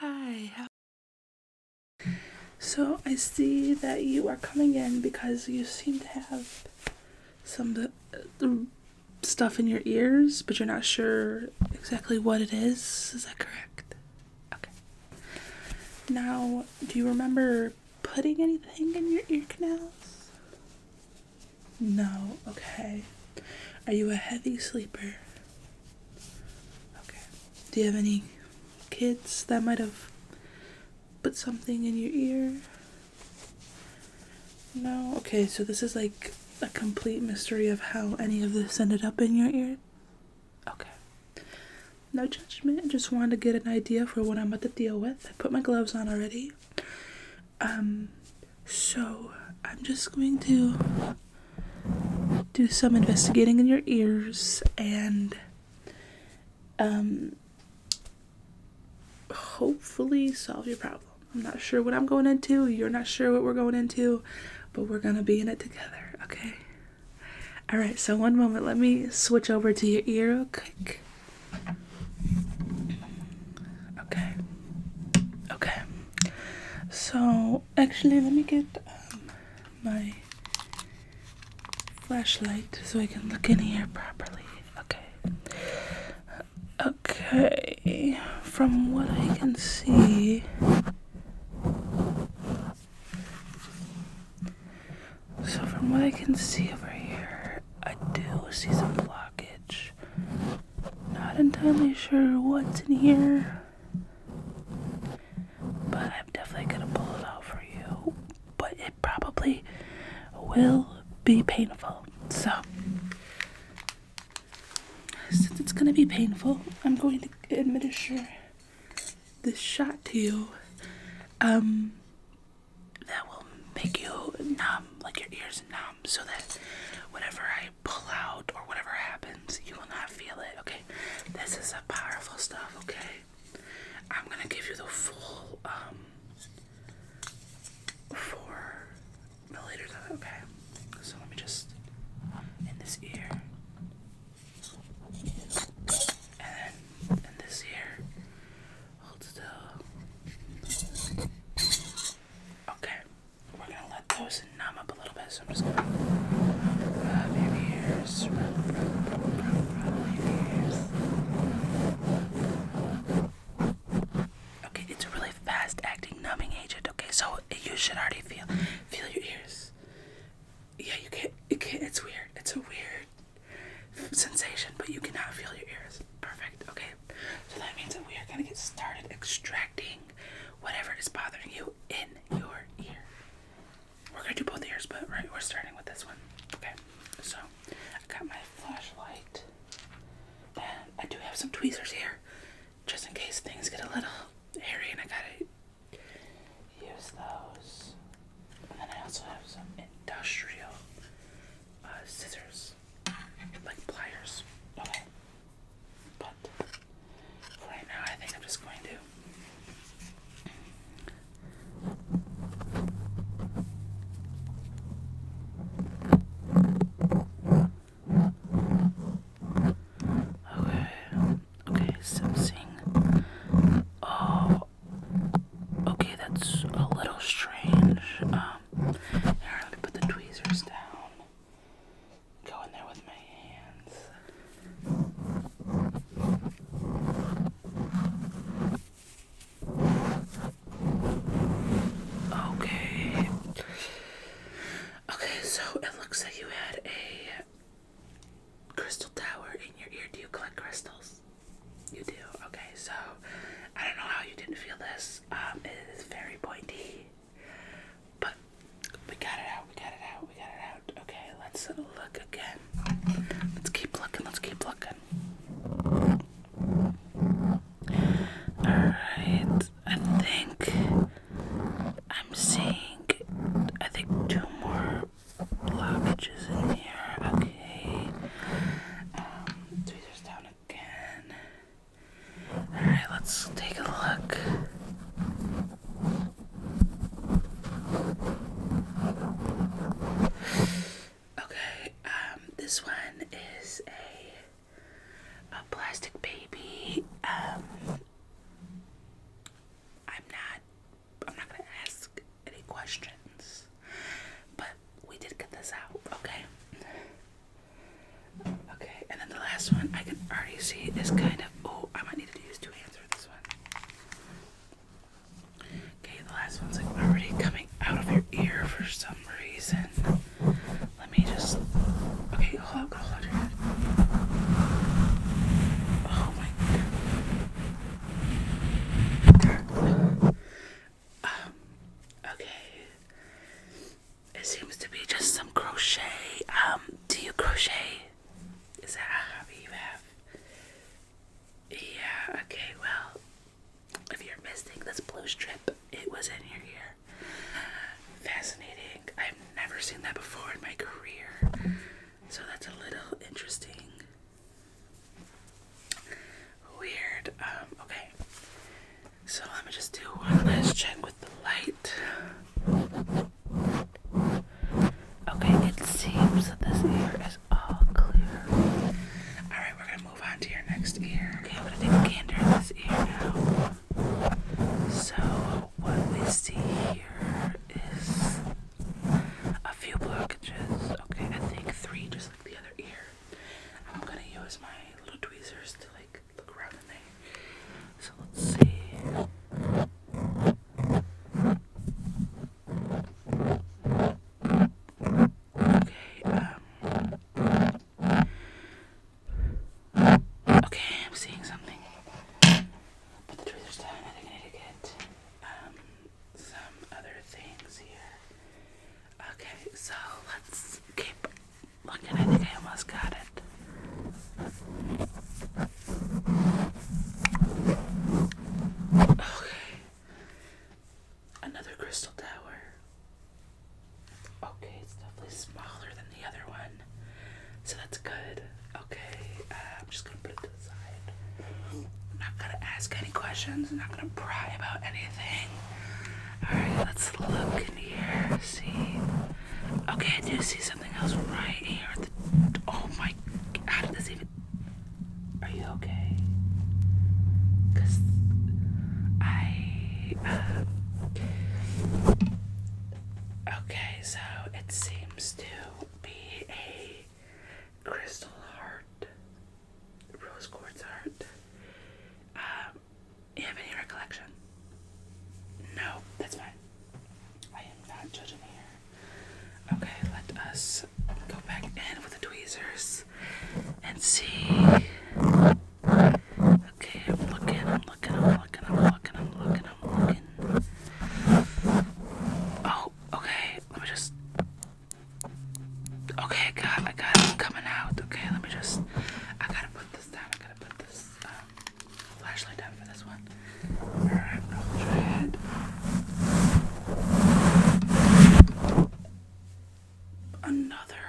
Hi. So I see that you are coming in because you seem to have some stuff in your ears, but you're not sure exactly what it is. Is that correct? Okay. Now, do you remember putting anything in your ear canals? No. Okay. Are you a heavy sleeper? Okay. Do you have any kids that might have put something in your ear? No? Okay, so this is like a complete mystery of how any of this ended up in your ear? Okay. No judgment. I just wanted to get an idea for what I'm about to deal with. I put my gloves on already. Um, so, I'm just going to do some investigating in your ears and um, hopefully solve your problem. I'm not sure what I'm going into. You're not sure what we're going into, but we're going to be in it together, okay? All right, so one moment. Let me switch over to your ear real quick. Okay. Okay. So actually let me get um, my flashlight so I can look in here properly okay okay from what I can see so from what I can see over here I do see some blockage not entirely sure what's in here but I'm definitely gonna pull it out for you. But it probably will be painful. So, since it's gonna be painful, I'm going to administer this shot to you. Um, that will make you numb, like your ears numb, so that whenever I pull out or whatever happens you will not feel it. Okay, this is a powerful stuff. Okay, I'm gonna give you the full um four milliliters of it. Okay, so let me just in this ear, and then in this ear, hold still. Okay. We're gonna let those numb up a little bit, so I'm just gonna numb your your ears. Okay, it's a really fast-acting numbing agent. Okay, so you should already feel feel your ears. Yeah, you can't. You can't. It's weird. It's a weird sensation, but you cannot feel your ears. Perfect. Okay, so that means that we are gonna get started extracting whatever is bothering you in your ear. We're gonna do both ears, but right, we're starting with this one. Okay, so I got my flashlight, and I do have some tweezers here, just in case things get a little hairy, and I gotta use those. And then I also have some industrial uh, scissors, like pliers. Okay, but right now, I think I'm just going to. Okay, okay, sensing. Oh, okay, that's a little strange. Um, here, let me put the tweezers down go in there with my hands. Okay. Okay, so it looks like you had a crystal tower in your ear. Do you collect crystals? You do. Okay, so I don't know how you didn't feel this. Um, it is very pointy. But we got it out, we got it out, we got it out. Okay, let's look again. Let's keep looking, let's keep looking. Alright, I think I'm seeing, I think, two more blockages in here. Okay, um, tweezers down again. Alright, let's take a look. Okay, um, this one is a a plastic baby. Um I'm not I'm not gonna ask any questions. But we did get this out, okay? Okay, and then the last one I can already see is kind of. Oh, I might need to use two hands for this one. Okay, the last one's like already coming out of your ear for some reason. Let me just. Okay, hold on, hold your head. Oh my god. Um, okay. It seems to be just some crochet. Um, do you crochet? Is that a hobby you have? Yeah, okay, well, if you're missing this blue strip, it was in your ear. Fascinating. I've never seen that before in my career. So that's a little interesting. Weird. Um, okay. So let me just do one last check with the light. Okay, it seems that this ear is all clear. Alright, we're gonna move on to your next ear. Okay, I'm gonna take a gander at this ear now. So, what we see here is a few blockages. Okay, I think three, just like the other ear. I'm gonna use my little tweezers to like look around in there. So let's see. Okay, um, Okay, I'm seeing something. But the truth is I think I need to get um some other things here. Okay, so let's keep Look at it, I almost got it. Okay. Another crystal tower. Okay, it's definitely smaller than the other one. So that's good. Okay, uh, I'm just gonna put it to the side. I'm not gonna ask any questions, I'm not gonna pry about anything. Alright, let's look in here, see. Okay, I do see something else right here. oh my, how did this even? Are you okay? Cause I. Uh, okay, so it seems to be a crystal heart, rose quartz heart. Um, you have any recollection? No, that's fine. I am not judging here. Okay, let us go back in with the tweezers and see. Okay, I'm looking, I'm looking, I'm looking, I'm looking, I'm looking, I'm looking. Oh, okay, let me just. Okay, I got, I got it coming out. Okay, let me just. I gotta put this down. I gotta put this. Um, flashlight out for this one. Alright, hold your Another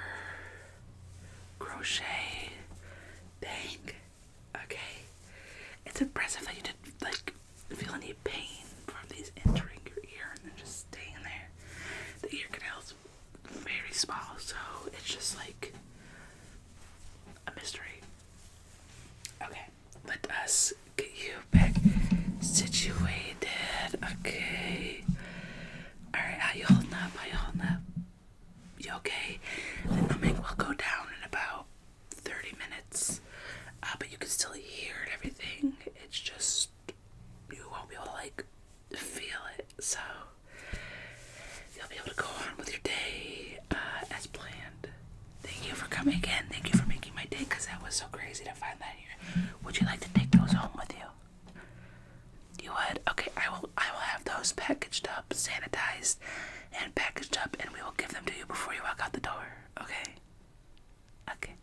crochet thing. Okay. It's impressive that you didn't like feel any pain from these entering your ear and then just staying there. The ear canal is very small, so it's just like a mystery. Okay, let us get you back situated. Okay. Alright, how you holding up? How holding up? You okay? The numbing will go down in about 30 minutes. Uh, but you can still hear everything. It's just you won't be able like feel it. So you'll be able to go on with your day uh, as planned. Thank you for coming again. Thank you for making my day because that was so crazy to find that here. Would you like to take those home with you? You would? Okay, I will I will have those packaged up, sanitized, and packaged up and we will give them to you before you walk out the door. Okay? Okay.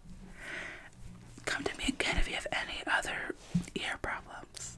Come to me again if you have any other ear problems.